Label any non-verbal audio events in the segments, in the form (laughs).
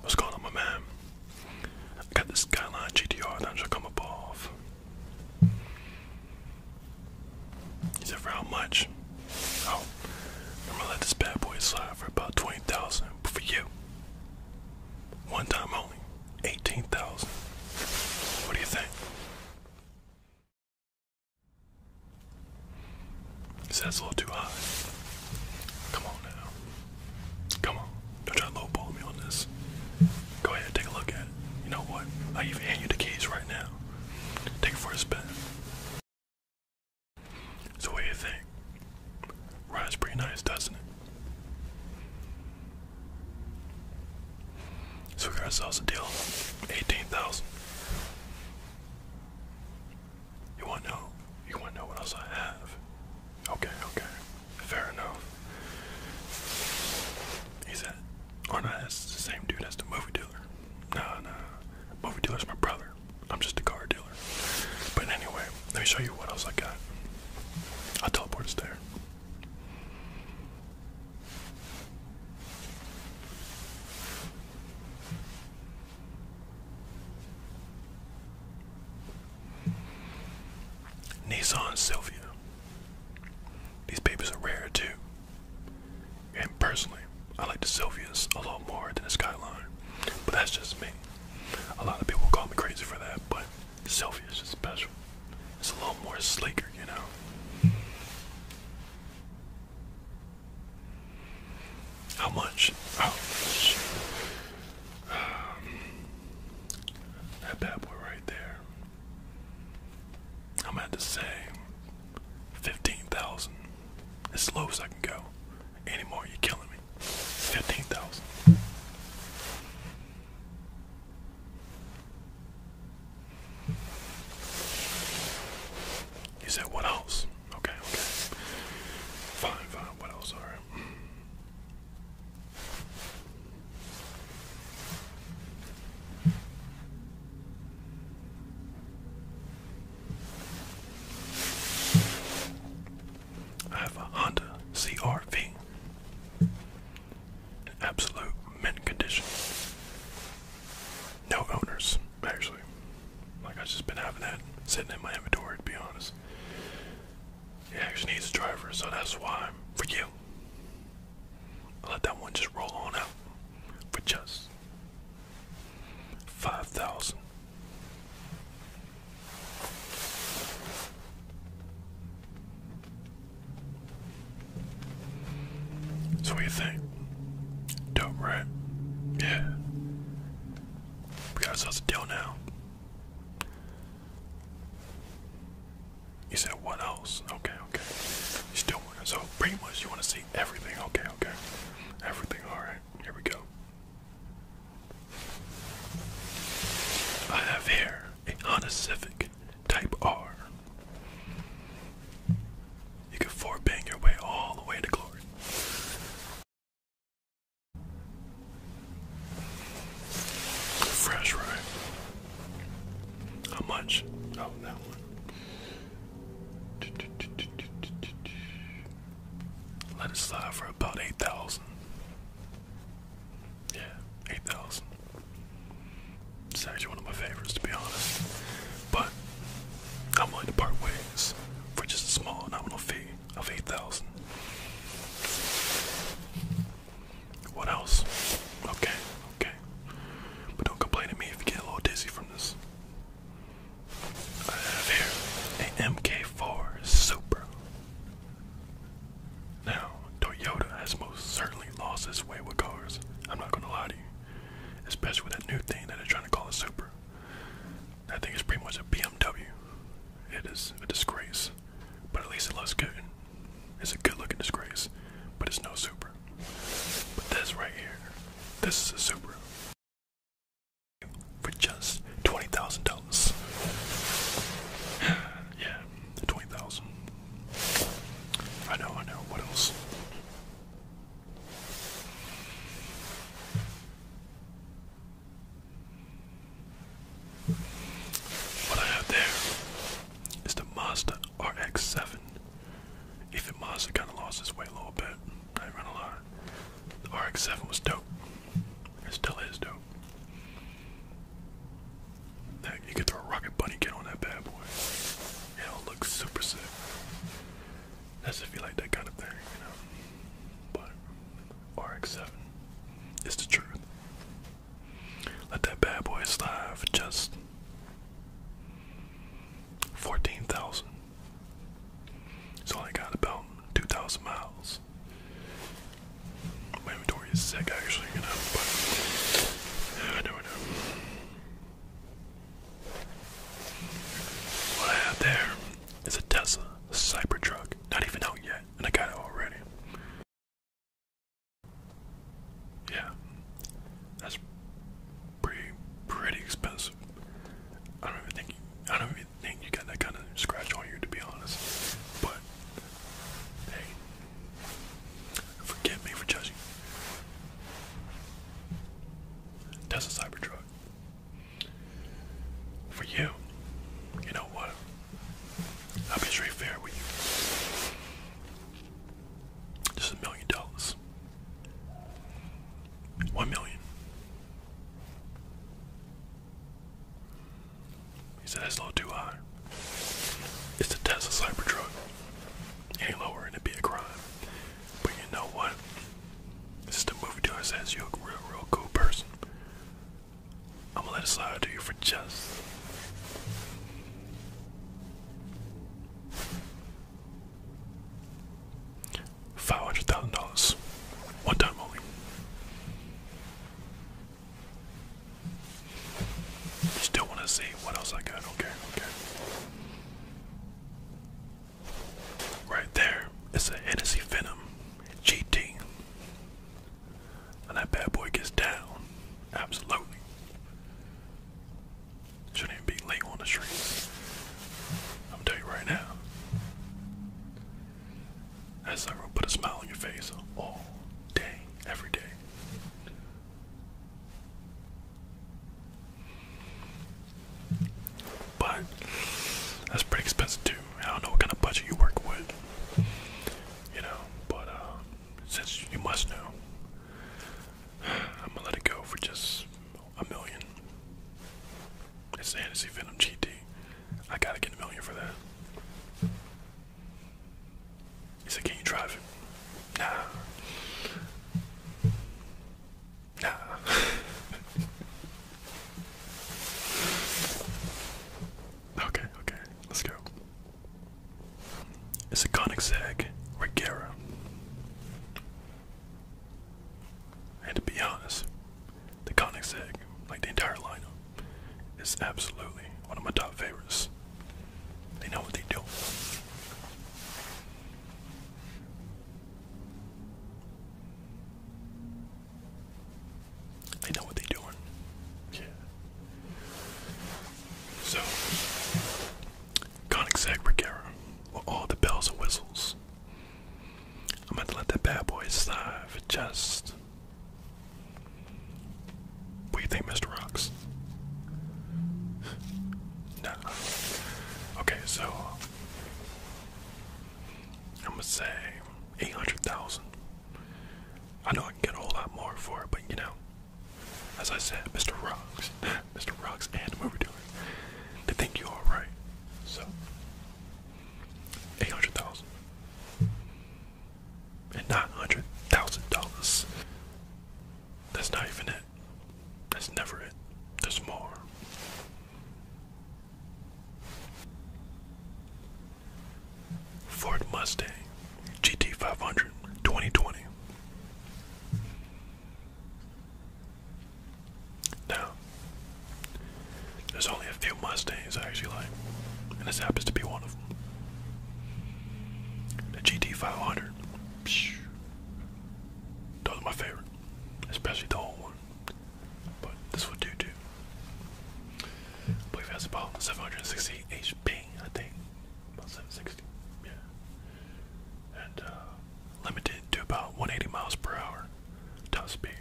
What's going on, my man? I got this Skyline GTR that should come up off. He said, for how much? Oh, I'm gonna let this bad boy slide for about 20,000 for you. One time only, 18,000. What do you think? He a little too high. Come on now. Come on, don't try to me on this. Go ahead, take a look at it. You know what? I even hand you the keys right now. Take it for a spin. So what do you think? Ride's pretty nice, doesn't it? So we got ourselves a deal, eighteen thousand. You want to know? You want to know what else I have? Okay, okay. Fair enough. He's that. Oh no, that's the same dude. That's the movie dealer. No, no. Movie dealer's my brother. I'm just a car dealer. But anyway, let me show you what else I got. I'll teleport us there. Nissan Sylvia. These papers are rare too. And personally, I like the Sylvias a lot more than the Skyline. But that's just me. A lot of people call me crazy for that, but the Sylvia is just special. It's a little more sleeker, you know. How much? How much? Um, that bad boy right there. I'm at to say 15,000. As low as I can go. Anymore, you're killing me. 15,000. You said, what else? Okay, okay. Fine, fine. What else? Alright. I have a Honda CRV in absolute mint condition. No owners, actually. Like I've just been having that sitting in my inventory to be honest. It actually needs a driver, so that's why for you. I'll let that one just roll on out for just five thousand. So what you think? Dope, right? Yeah. We got ourselves a deal now. You said what else? Okay, okay. You still want so pretty much you want to see everything. Okay, okay. Everything. All right. Here we go. I have here a Honda Civic Type R. You can four bang your way all the way to glory. Fresh, right? How much? Oh, that one. Let it slide for about 8,000. Yeah, 8,000. It's actually one of my favorites, to be honest. But I'm willing to part ways for just a small nominal fee of 8,000. What else? Okay, okay. But don't complain at me if you get a little dizzy from this. I have here a MK4 Super. Now, Toyota has most certainly lost its way with cars. I'm not gonna lie to you. Especially with that new thing that they're trying to call a Super. That thing is pretty much a BMW. It is a disgrace, but at least it looks good. It's a good-looking disgrace, but it's no Supra. But this right here, this is a Supra for just twenty thousand dollars. (sighs) yeah, twenty thousand. I know, I know. What else? What I have there is the Mazda RX-7. Even Mazda kind of lost its way a little bit. I ain't a lot. The RX-7 was dope. It still is dope. Heck, you can throw a rocket bunny kit on that bad boy. It'll look super sick. That's if you like that kind of thing, you know. But RX-7 is the truth. Let that bad boy slide for just 14,000. It's only got about 2,000 miles. My inventory is sick actually, you know, but I never know. What I have there is a Tesla Cybertruck, not even out yet and I got it already. Yeah, that's pretty pretty expensive. I don't even think you, I don't even think you got that kind of scratch on you, to be honest. But hey, forgive me for judging. That's a Cybertruck for you. You know what? I'll be straight fair with you. Just a million dollars. One million. He said that's a too high. It's the Tesla Cybertruck. Any lower and it'd be a crime. But you know what? This is the movie dealer says you're a real, real cool person. I'm gonna let it slide to you for just. Five hundred thousand dollars, one time only. Still want to see what else I got? Okay, okay. Right there is a Hennessy Venom GT. And that bad boy gets down. Absolutely. Shouldn't be late on the street. I'm telling you right now. That's not going put a smile on your face all day, every day. But that's pretty expensive too. I don't know what kind of budget you work with, you know. But uh, since you must know, I'm gonna let it go for just a million. It's the Hennessy Venom GT. I gotta get a million for that. He said, "Can you drive it?" Nah. Nah. (laughs) Okay, okay, let's go. It's a conic zag, Regera. And to be honest, the conic zag, like the entire lineup, is absolutely one of my top favorites. They know what they do. I know what they're doing. Yeah. So, Conic Zagbregera, with all the bells and whistles. I'm going to let that bad boy slide for just. What do you think, Mr. Rocks? (laughs) nah. Okay, so. I'm gonna say 800,000. I know I can get a whole lot more for it, but you know, as I said, Mr. Rocks, (laughs) Mr. Rocks and movie dealer, they think you are right. So, 800,000 and 900,000 dollars. That's not even it. That's never it. There's more. Ford Mustang GT500 2020. Now, there's only a few Mustangs I actually like, and this happens to be one of them. The GT500. those are my favorite, especially the old one. But this would do too. I believe it has about 760 HP, I think. About 760, yeah. And uh, limited to about 180 miles per hour top speed.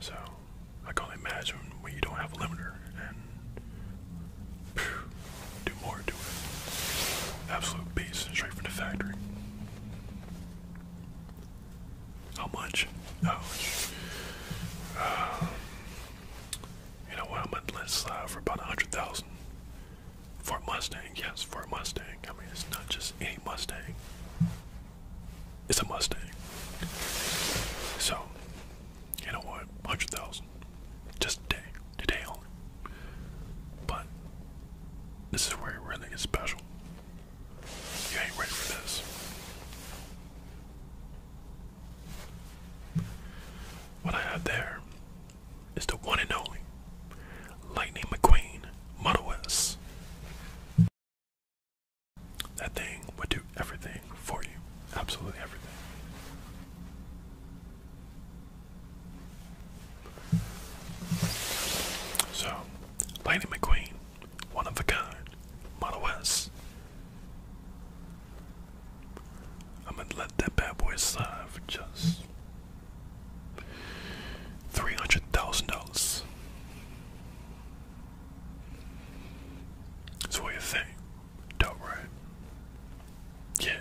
So I can only imagine when you don't have a limiter and phew, do more to it. Absolute beast straight from the factory. How much? Uh, you know what? I'm gonna list uh, for about a hundred thousand. For a Mustang, yes, for a Mustang. I mean, it's not just any Mustang. It's a Mustang. So, you know what? Hundred thousand, just today, today only. But this is where it really is special. You ain't ready for this. What I have there is the one and only Lightning McQueen Model That thing would do everything for you. Absolutely everything. So, Lightning McQueen one of a kind. Model S. I'm gonna let that bad boy slide for just three hundred thousand dollars. So what you think? Dope, right? Yeah.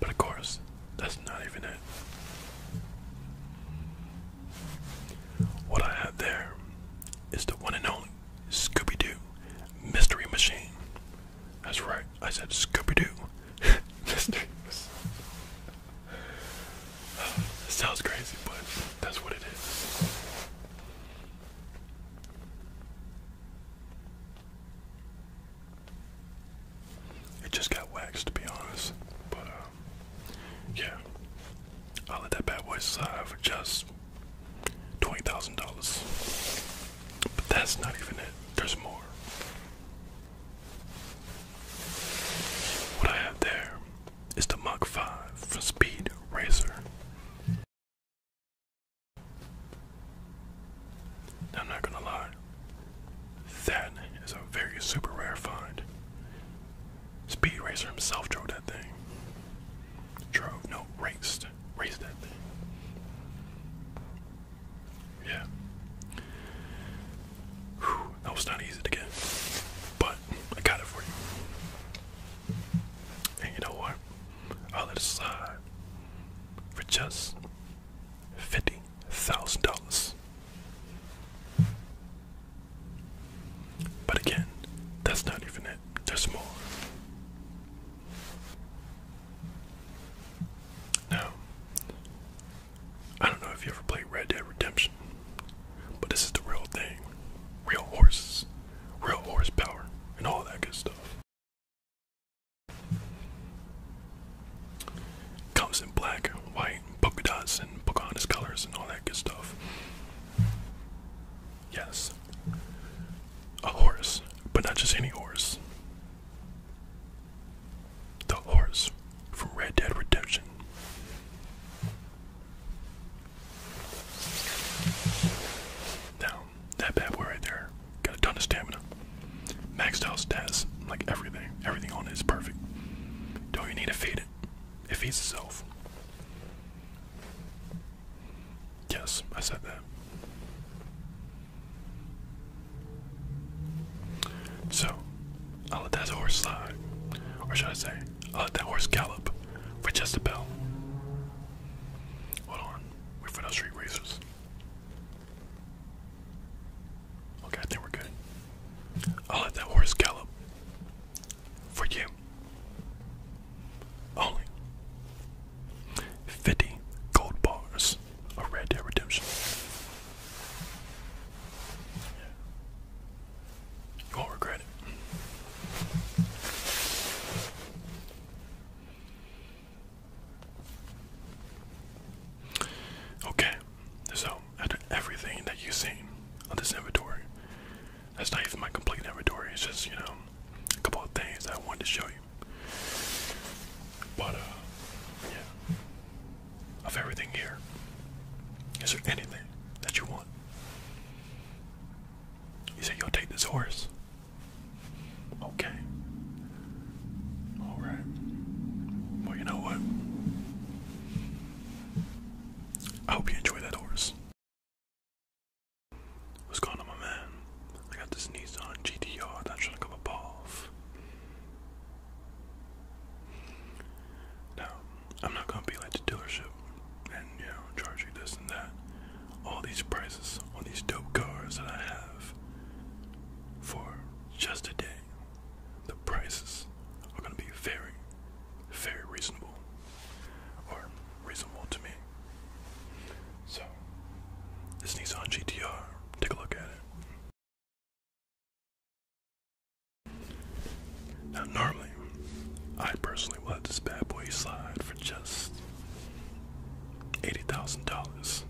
But of course, that's not even it. What I have there is the one and only Scooby Doo Mystery Machine. That's right, I said Scooby Doo (laughs) Mystery sounds crazy, but that's what it is. It just got waxed, to be honest. But, uh, yeah, I'll let that bad boy slide for just twenty thousand dollars. But that's not even it. There's more. What I have there is the Mach 5 for Speed Racer. I'm not gonna lie, that is a very super rare find. Speed Racer himself drove that thing. Drove, no, raced. Raced that thing. Yeah. that was not easy to get. But I got it for you. And you know what? I'll let it slide for just fifty thousand dollars. But again, that's not even it. There's more. Now, I don't know if you ever played Red Dead Redemption, but this is the real thing. Real horses, real horsepower, and all that good stuff. Comes in black, white, right? Polka dots and Pocahontas colors and all that good stuff. Yes. A horse, but not just any horse. The horse from Red Dead Redemption. Now, that bad boy right there got a ton of stamina. Maxed out stats, like everything. Everything on it is perfect. Don't you need to feed it if he's himself, Yes, I said that. So, I'll let that horse slide, or should I say, I'll let that horse gallop for just a bell. Hold on, wait for no street racers. Okay, I think we're good. I'll let that horse gallop for you. Only 50 gold bars of Red Dead Redemption. You won't regret it. Okay, so after everything that you've seen on this inventory, that's not even my complete inventory. It's just you know a couple of things that I wanted to show you. But uh, yeah, of everything here, is there anything that you want? You say you'll take this horse. Okay. All right. Well, you know what? I hope you enjoy that horse. What's going on, my man? I got this Nissan GTR that's trying to come up off. Now, I'm not gonna be like the dealership and you know charge you this and that. All these prices on these dope cars that I have for just a day. The prices are gonna be very, very reasonable or reasonable to me. So, this Nissan GTR, take a look at it. Now, normally, I personally will have this bad boy slide for just $80,000.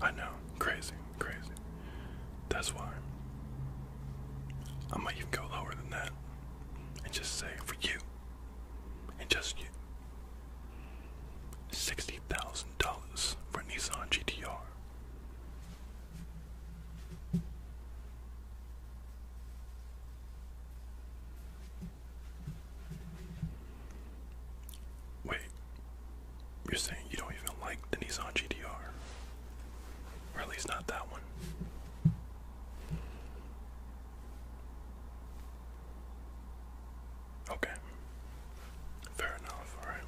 I know, crazy, crazy. That's why I might even go lower than that and just say for you and just you $60,000 for a Nissan GTR. Wait, you're saying you don't even like the Nissan GTR? Or at least not that one. Okay. Fair enough, alright.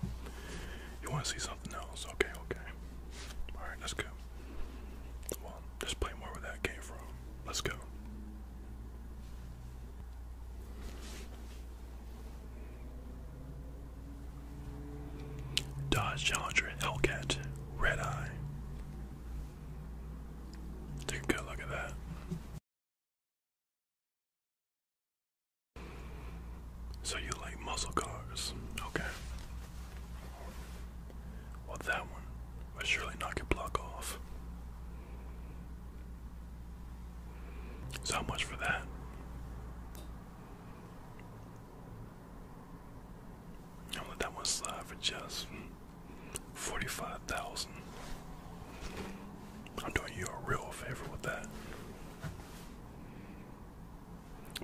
You want to see something else? Okay, okay. Alright, let's go. Well, just play more where that came from. Let's go. Dodge Challenger Hellcat Red Eye. Take a good look at that. So you like muscle cars, okay? Well, that one will surely knock your block off. So how much for that? I'll that one slide for just forty-five thousand. I'm doing you a real favor with that.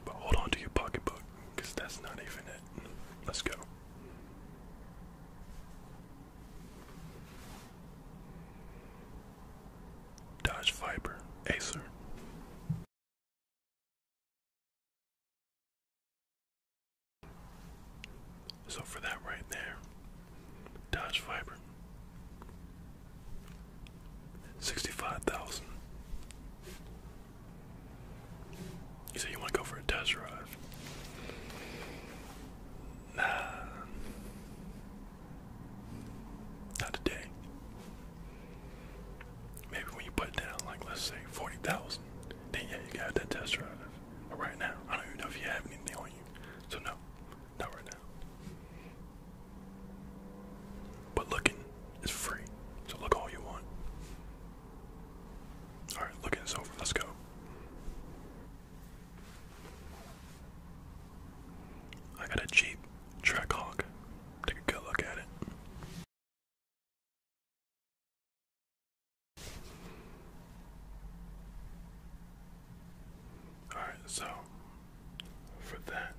But hold on to your pocketbook, because that's not even it. Let's go. Dodge Viper, Acer. So for that right there, Dodge Viper, sixty-five thousand. You say you want to go for a test drive? Nah, not today. Maybe when you put down, like let's say forty thousand, then yeah, you got that test drive. But right now, I don't even know if you have anything on you, so no, not right now. But looking is free, so look all you want. All right, looking is over. Let's go. I got a Jeep Trackhawk. Take a good look at it. All right, so for that,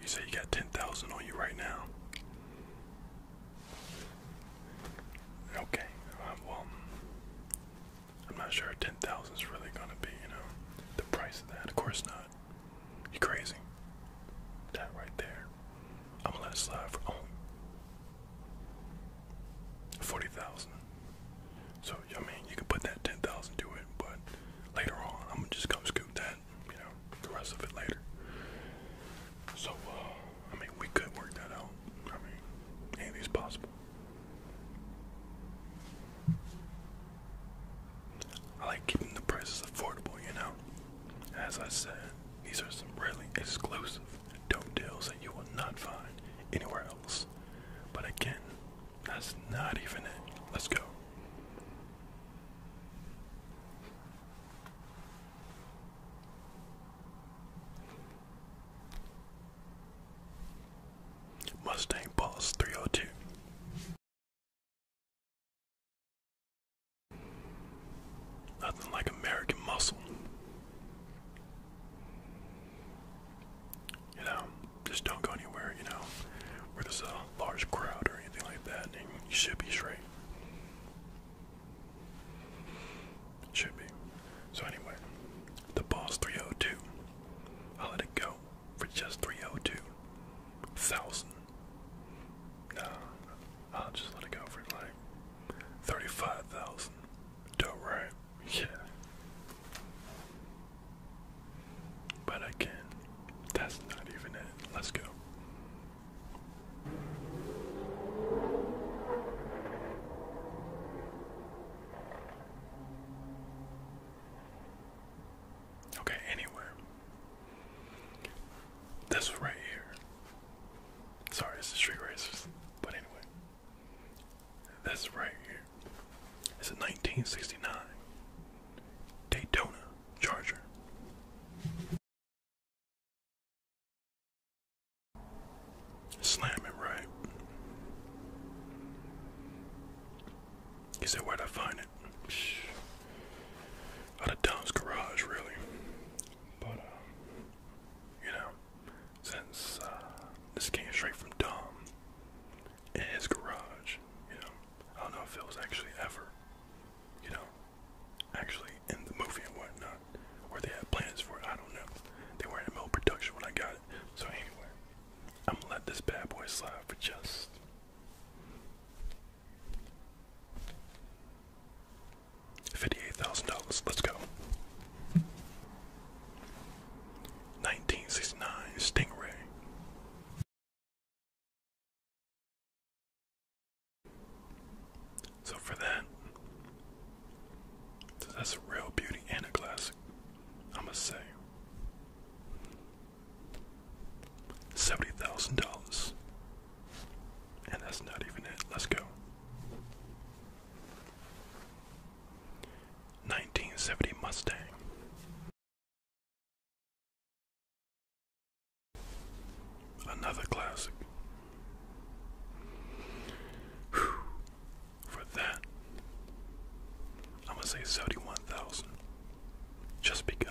you say you got 10,000 on you right now. Okay, uh, well, I'm not sure 10,000 is really going to be, you know, the price of that. Of course not. You crazy? That right there. I'm gonna let it slide for only oh. forty thousand. So I mean, you can put that ten thousand to it, but later on, I'm gonna just come scoop that. You know, the rest of it later. So uh, I mean, we could work that out. I mean, anything's possible. I like keeping the prices affordable, you know. As I said, these are some really exclusive dope deals that you will not find anywhere else. But again, that's not even it. Let's go. Mustang Boss 302. Nothing like American muscle. You know, just don't go anywhere, you know, where there's a large crowd or anything like that, and you should be straight. Should be. So anyway, the boss 302. I'll let it go for just 302. No, I'll just let it go for like thirty-five thousand. Dope, right? Yeah. But again, that's not even it. Let's go. Okay, anywhere. This one right here. Sorry, it's the Street Racers. But anyway. This right here. It's a 1969 Daytona Charger. Slam it right. He said, Where'd I find it? Out of Don's garage, really. But, um, you know, since uh, this came straight from Dom in his garage, you know, I don't know if it was actually ever, you know, actually in the movie and whatnot, or they had plans for it. I don't know. They were not in the middle production when I got it. So, anyway, I'm gonna let this bad boy slide for just $58,000. Let's go. 1969 Stingray. So for that, that's a real beauty and a classic, I must say. $70,000. And that's not even it. Let's go. 1970 Mustang. Another classic. For that, I'm gonna say seventy-one thousand just because.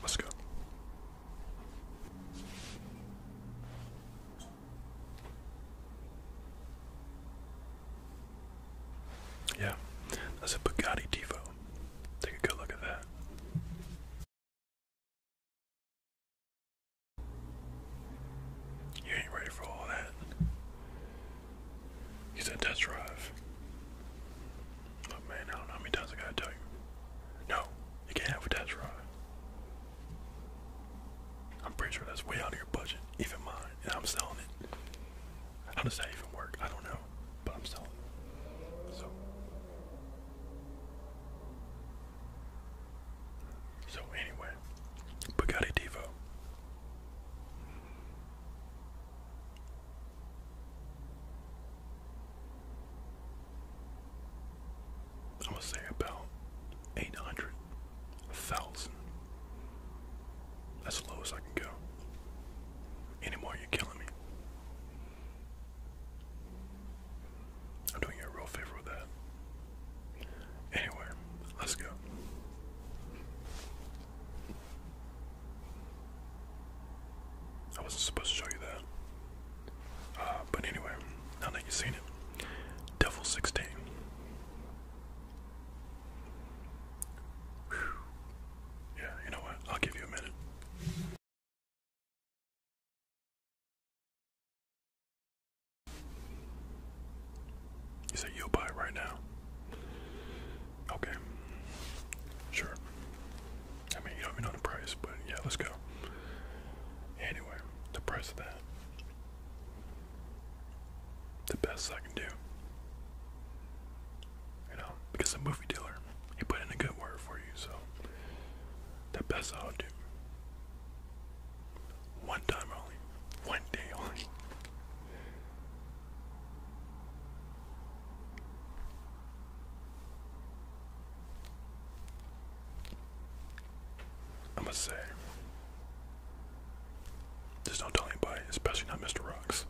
Let's go. Yeah, that's a Bugatti Devo. Take a good look at that. You ain't ready for all that. He said test drive. Oh, man, I don't know how many times I gotta tell you. No, you can't have a test drive. I'm pretty sure that's way out of your budget, even mine, and I'm selling it. How does that even work? I don't know, but I'm selling it. So, so anyway, Bugatti Devo. I was say about 800,000. That's as low as I can go. Anymore, you're killing me. I'm doing you a real favor with that. Anyway, let's go. I wasn't supposed to show you that. Uh, but anyway, now that you've seen it, Devil 16. Yeah, you know what? I'll give you a minute. You say you'll buy it right now. Okay. Sure. I mean, you don't even know the price, but yeah, let's go. Anyway, the price of that. The best I can do. You know, because the movie dealer, he put in a good word for you, so the best I'll do. One time only. One day only. I'm gonna say, just don't tell anybody, especially not Mr. Rocks.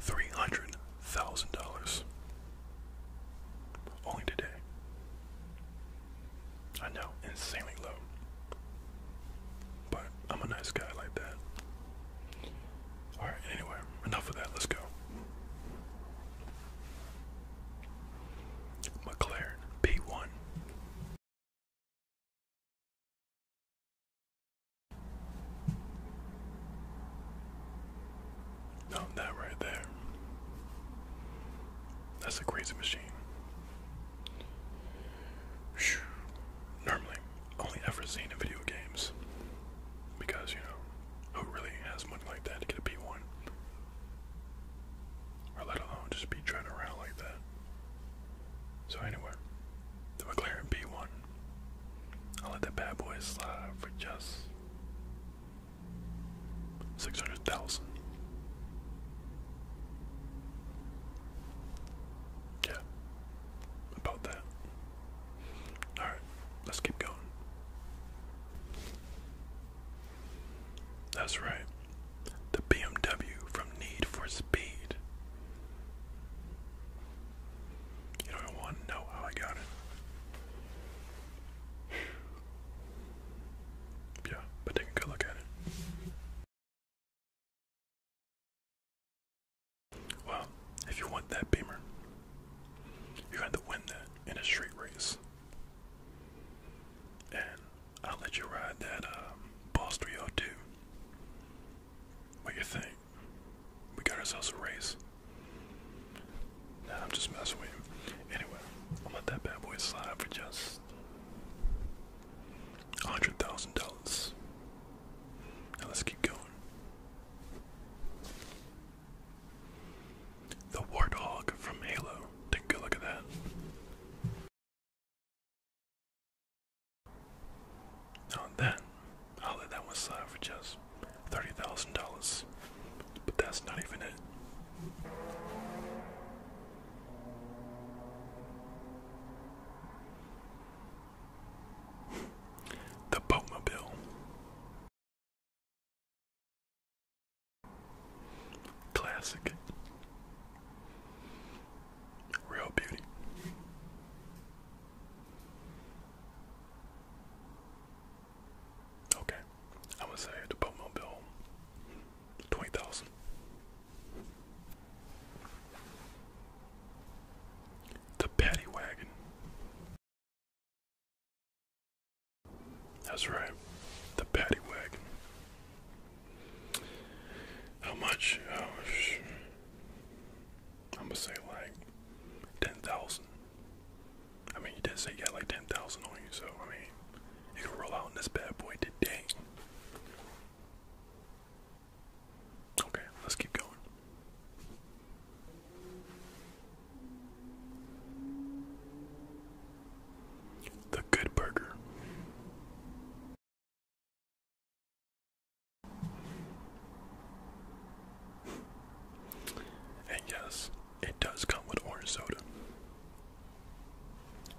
Three hundred thousand dollars only today. I know, insanely low. But I'm a nice guy like that. Alright, anyway, enough of that, let's go. McLaren P1. No, that right there. That's a crazy machine normally only ever seen in video games. Because, you know, who really has money like that to get a P1? Or let alone just be driving around like that. So, anyway, the McLaren P1. I'll let that bad boy slide for just 600,000. Yeah. About that. Alright, let's keep going. That's right. The BMW from Need for Speed. You don't want to know how I got it. Yeah, but take a good look at it. Well, if you want that beamer, you had to win that in a street race. And I'll let you ride that um, Boss 302. What you think? We got ourselves a race. Nah, I'm just messing with you. Anyway, I'll let that bad boy slide for just dollars. Hundred thousand dollars. Now let's keep going. The warthog from Halo. Take a good look at that. Now then, I'll let that one slide for just thirty thousand dollars. But that's not even it. (laughs) The Boatmobile. Classic. Real beauty. Okay, I'm say the Boatmobile. Twenty thousand. The Paddy Wagon. That's right, the Paddy Wagon. How much? Oh, I'm gonna say like ten thousand. I mean, you did say you got like ten thousand on you, so I mean, you can roll out in this bad boy today. Okay, let's keep going. The Good Burger. And yes, it does come with orange soda.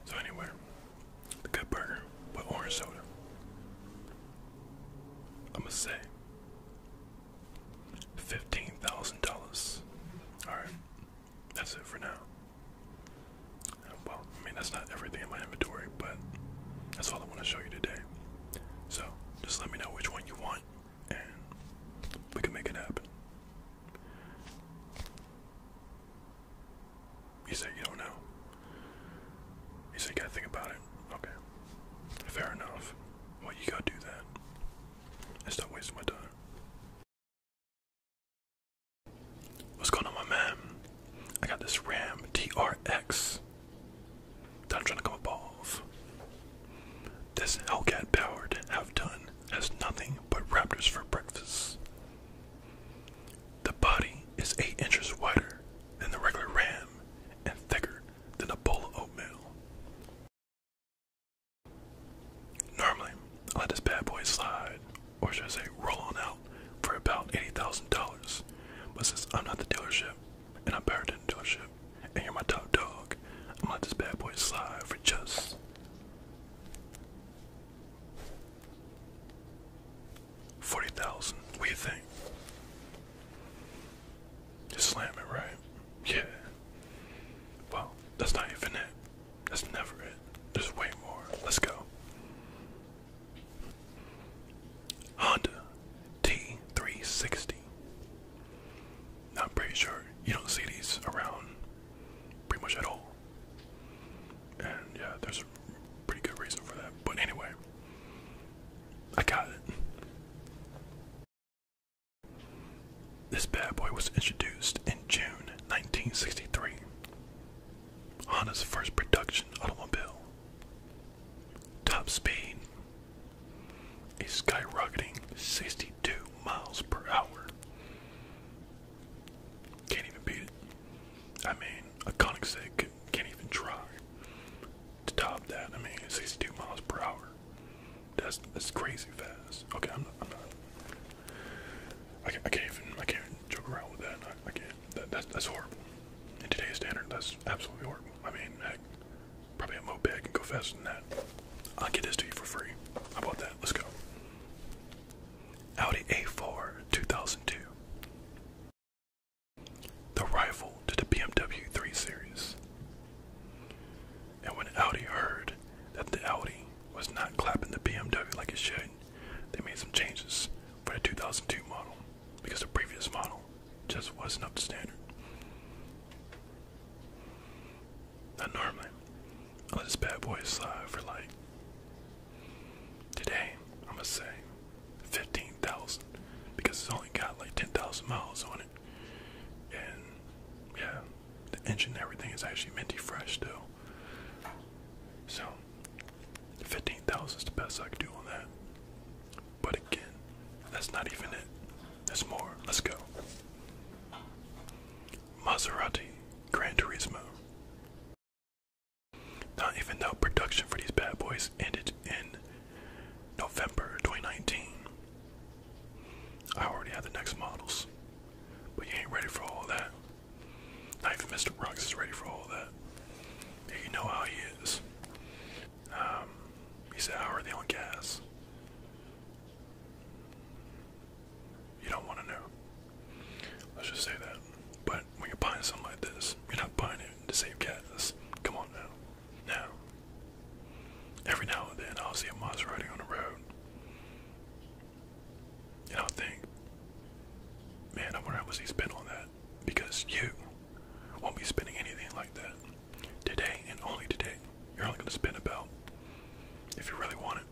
So anyway, the good burger with orange soda. I'ma say fifteen thousand dollars. Alright. That's it for now. Uh, well, I mean that's not everything in my inventory, but that's all I want to show you today. So just let me know which one you want and we can make it happen. He said, you don't know. He said, you gotta think about it. Okay. Fair enough. Well, you gotta do that. I stop wasting my time. What's going on, my man? I got this RAM TRX that I'm trying to come above. This Hellcat powered have done has nothing but Raptors for breakfast. The body is 8 inches wider than the regular ram and thicker than a bowl of oatmeal. Normally, I let this bad boy slide, or should I say roll on out, for about $80,000. But since I'm not the dealership, and I'm better than the dealership, and you're my top dog, I'm going this bad boy slide for just Forty thousand. What do you think? Just slam it, right? Yeah. Well, that's not infinite. That's never it. There's way more. Let's go. Honda T360. Now, pretty sure you don't see these around pretty much at all. And yeah, there's a pretty good reason for that. But anyway, I got it. This bad boy was introduced in June 1963. Honda's first production automobile. Top speed a skyrocketing 62 miles per hour. Can't even beat it. I mean, a can't even try to top that. I mean, 62 miles per hour. That's crazy fast. Okay, I'm not. I'm not I, can not even. I can't even joke around with that. I, can't. that's horrible. In today's standard, that's absolutely horrible. I mean, heck, probably a moped can go faster than that. I'll get this to you for free. How about that? Let's go. Audi A4 2002. The rival to the BMW 3 Series. And when Audi heard that the Audi was not clapping the BMW like it should, they made some changes for the 2002 model because the previous model just wasn't up to standard. Now normally, I let this bad boy slide uh, for like Today, I'm gonna say 15,000 because it's only got like 10,000 miles on it. And yeah, the engine and everything is actually minty fresh still. So, 15,000 is the best I could do on that. But again, that's not even it. There's more. Let's go. Maserati Gran Turismo not even though production for these bad boys ended in November 2019. I already have the next models, but you ain't ready for all that. Not even Mr. Brooks is ready for all that. you know how he is. Um, he said, How are they on gas? You don't want to know. Let's just say that. But when you're buying something like this, you're not buying it to save gas. Come on now. Now. Every now and then I'll see a Maserati on the road. And I'll think, man, I wonder how much he spent on that. Because you won't be spending anything like that. Today and only today. You're only gonna spend about if you really want it.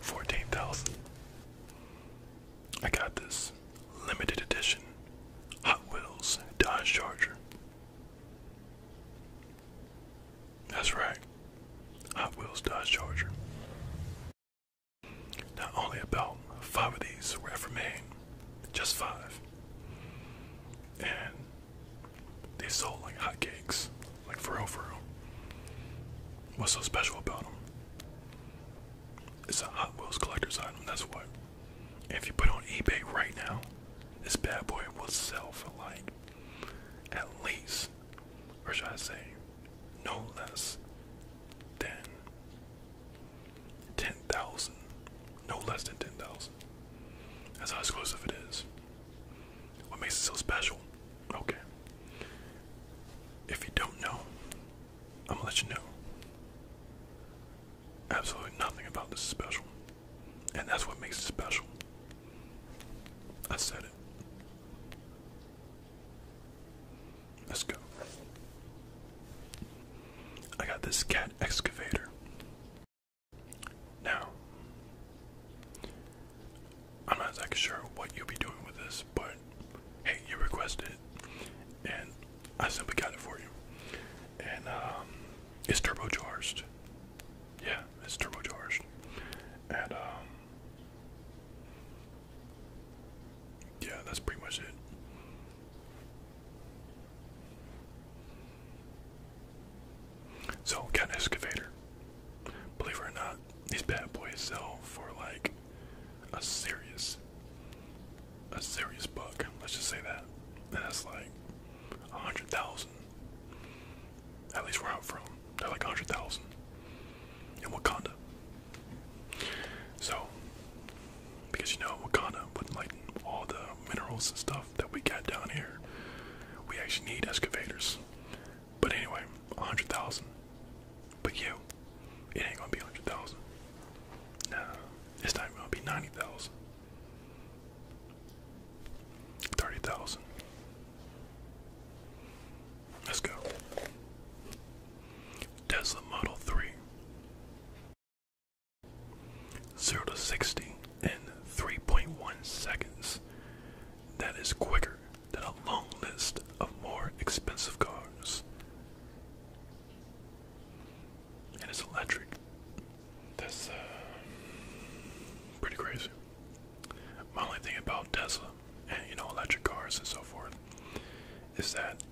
Fourteen thousand. I got this limited edition Hot Wheels Dodge Charger. That's right, Hot Wheels Dodge Charger. Not only about five of these were ever made, just five. And they sold like hotcakes, like for real, for real. What's so special about them? It's a Hot Wheels collector's item, that's what. If you put on eBay right now, this bad boy will sell for like at least, or should I say, no less than ten thousand no less than 10,000. That's how exclusive it is. What makes it so special? Okay. If you don't know, I'm gonna let you know. Absolutely nothing about this is special. And that's what makes it special. I said it. Let's go. I got this cat excavator. Now, I'm not exactly sure what you'll be doing with this, but hey, you requested it, and I simply got it for you. And um, it's turbocharged. Yeah, it's turbocharged. And um, yeah, that's pretty much it. So got an excavator. Believe it or not, these bad boys sell for like a serious a serious buck, let's just say that. that's like a hundred thousand. At least where I'm from. They're like a hundred thousand. In Wakanda. So because you know Wakanda with like all the minerals and stuff that we got down here. We actually need excavators. But anyway, a hundred thousand. But you, it ain't gonna be a hundred thousand. No, this time even gonna be ninety thousand. Thirty thousand. Let's go. Tesla Model 3. 0 to 60 in 3.1 seconds. That is quicker than a long list of more expensive cars. And it's electric. That's uh, pretty crazy. My only thing about Tesla and you know electric cars and so forth is that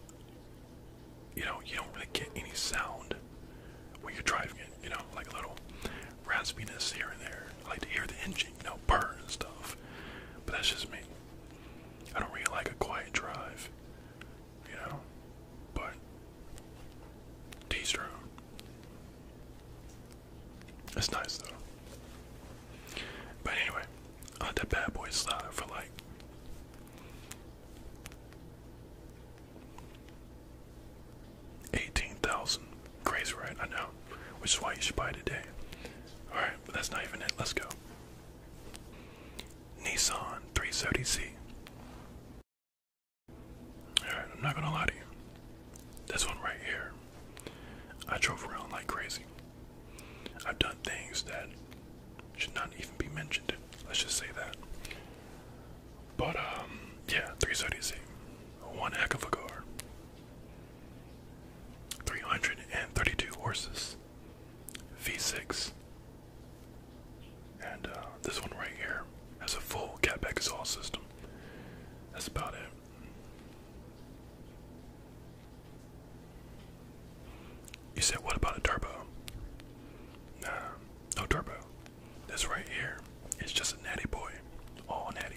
you know you don't really get any sound when you're driving it, you know, like a little raspiness here and there. I like to hear the engine, you know, purr and stuff. But that's just me. I don't really like a quiet drive, you know. But tease your own. nice though. But anyway, I let that bad boy slide for like 18,000. Crazy, right? I know. Which is why you should buy today. Alright, but that's not even it. Let's go. Nissan 370C. Alright, I'm not gonna lie to you. This one right here. I drove around like crazy. I've done things that should not even be mentioned. Let's just say that. But um, yeah, 330Z, one heck of a car. 332 horses, V6, and uh, this one right here has a full catback exhaust system. That's about it. You said, what about a turbo? Nah, no turbo. This right here is just a natty boy. All natty.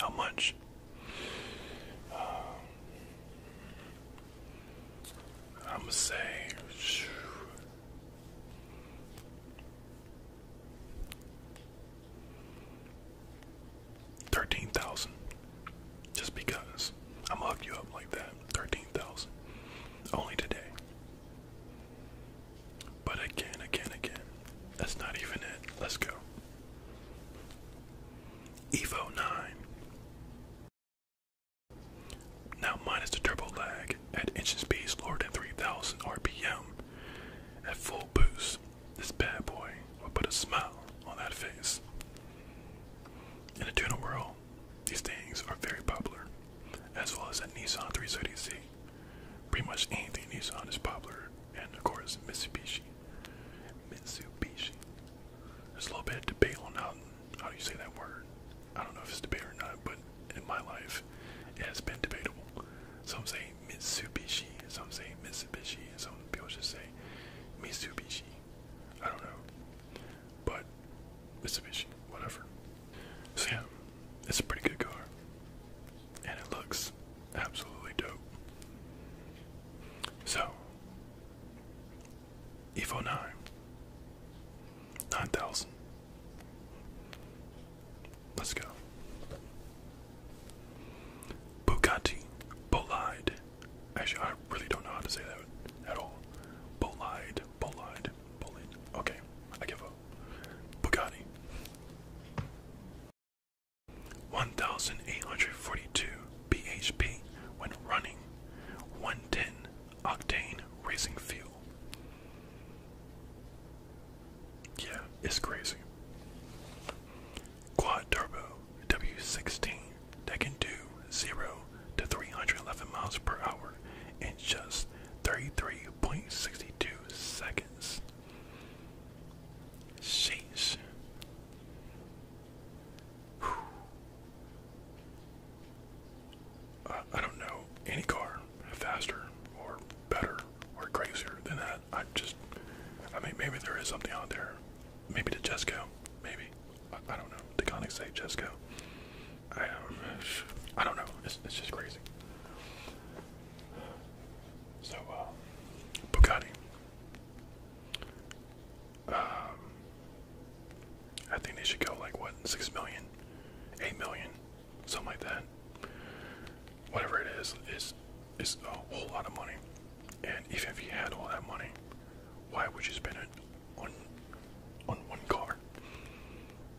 How much? Um, I'm gonna say thirteen thousand. Just because I'm gonna hook you up like that. 13,000 only today. But again, again, again, that's not even it. Let's go. Evo 9. Now minus the turbo lag at engine speeds lower 3,000 RPM. At full boost, this bad boy will put a smile on that face. In a tuna world, these things are very popular, as well as a Nissan 330Z. Pretty much anything Nissan is popular, and of course Mitsubishi. Mitsubishi. There's a little bit of debate on how, how do you say that word. I don't know if it's debate or not, but in my life, it has been debatable. Some say Mitsubishi, some say Mitsubishi, and some people just say Mitsubishi. I don't know but it's a Mitsubishi, whatever. So yeah, it's a pretty good car, and it looks absolutely dope. So, Evo 9, 9000. Let's go. Bugatti Bolide. Actually, I really don't know how to say that at all. Bolide, Bolide. Bullet. Bullet. Okay, I give up. Bugatti. 1842 bhp when running 110 octane racing fuel. Yeah, it's crazy. Quad turbo W16 that can do 0 to 311 miles per hour in just 33.62 seconds. Sheesh. I don't know any car faster or better or crazier than that. I just, I mean, maybe there is something out there. Maybe the Jesco, maybe I, don't know. Deconic Save Jesco. I um, I don't know. It's just crazy. So uh, Bugatti. Um, I think they should go like what six million, eight million, something like that. Whatever it is, is is a whole lot of money. And even if you had all that money, why would you spend it on on one car.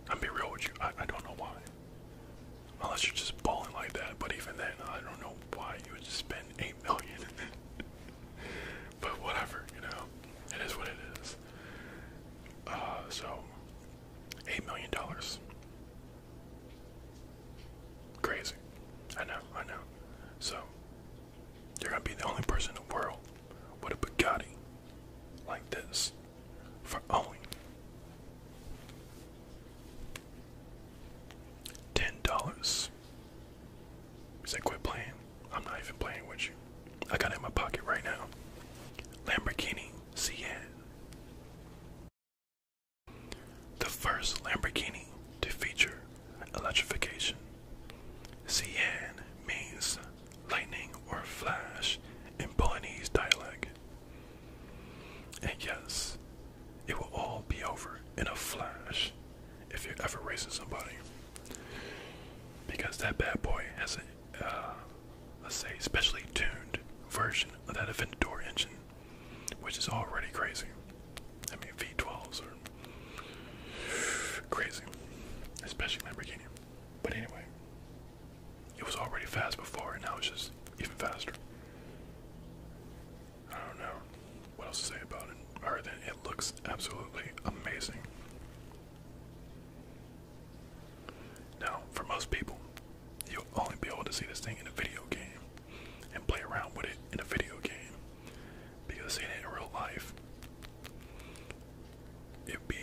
I'm be real with you. I, I don't know why. Unless you're just balling like that, but even then, I don't know why you would just spend eight million. (laughs) but whatever, you know, it is what it is. Uh, so, eight million dollars. Crazy. I know, I know. So, you're gonna be the only person in the world with a Bugatti like this for only ten dollars. He said, "Quit playing. I'm not even playing with you. I got it in my pocket right now." Lamborghini Sian. The first Lamborghini to feature electrification. Sian means lightning, or flash in Polynese dialect. And yes, it will all be over in a flash if you're ever racing somebody. Because that bad boy has a, uh, let's say, specially tuned version of that Aventador engine, which is already crazy. I mean, V12s are crazy, especially Lamborghini. But anyway, it was already fast before, and now it's just even faster. I don't know what else to say about it, other than it looks absolutely amazing. Now, for most people, you'll only be able to see this thing in a video game and play around with it in a video game because it in real life it'd be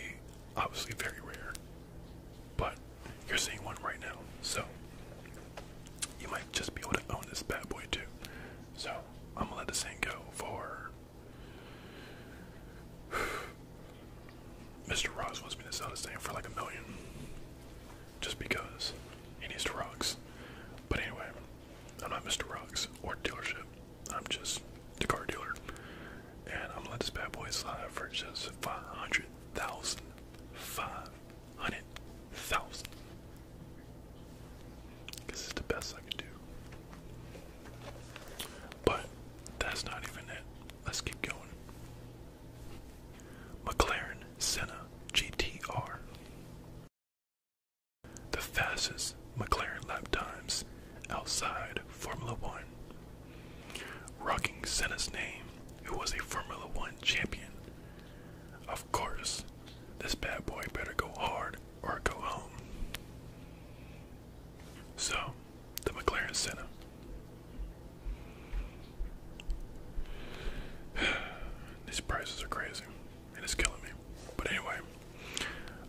obviously very rare, but you're seeing one right now, so you might just be able to own this bad boy too. So I'm gonna let this thing go for. (sighs) Mr. Rocks wants me to sell this thing for like a million. Just because he needs to rocks. But anyway, I'm not Mr. Rocks or dealership. I'm just a car dealer. And I'm gonna let this bad boy slide for just five hundred thousand. Five hundred thousand. This is the best I can do. But that's not even it. Let's keep going. McLaren Senna GTR. The fastest McLaren lap times, outside Formula One. Rocking Senna's name, who was a Formula One champion. Of course, this bad boy better go hard or go home. So, the McLaren Senna. (sighs) These prices are crazy and it's killing me. But anyway,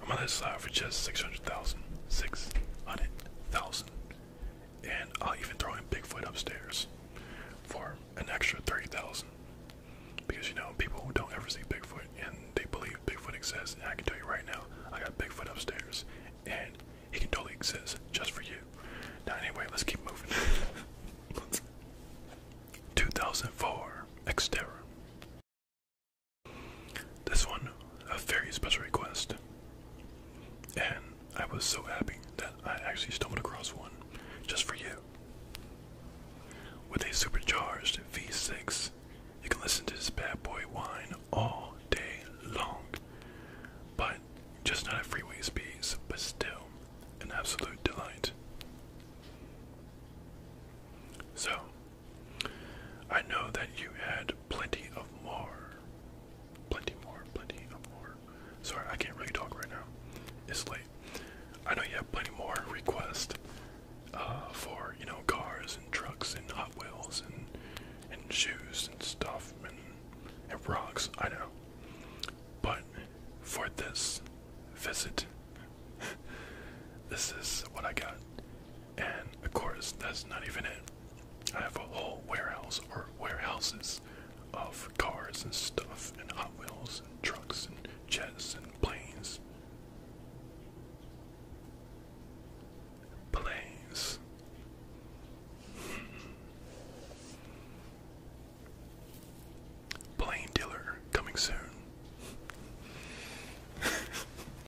I'm on this side for just 600,000. 600,000. And I'll even throw in Bigfoot upstairs for an extra 30,000. Because you know, people who don't ever see Bigfoot and they believe Bigfoot exists, I can tell you right now, I got Bigfoot upstairs and he can totally exist just for you. Now, anyway, let's keep moving. (laughs) 2004 Xterra. This one, a very special request. And I was so happy that I actually stumbled across one just for you. With a supercharged V6, you can listen to this bad boy whine all day long. But just not at freeway speeds, but still an absolute delight. So, I know that you had plenty of more. Plenty more, plenty of more. Sorry, I can't really talk right now. It's late. I know you have plenty more requests uh, for, you know, cars and trucks and Hot Wheels and, and shoes and stuff and, and rocks. I know. But for this visit, (laughs) this is what I got. And of course, that's not even it. I have a whole warehouse or warehouses of cars and stuff, and Hot Wheels, and trucks, and jets, and planes. Planes. Plane dealer coming soon. (laughs)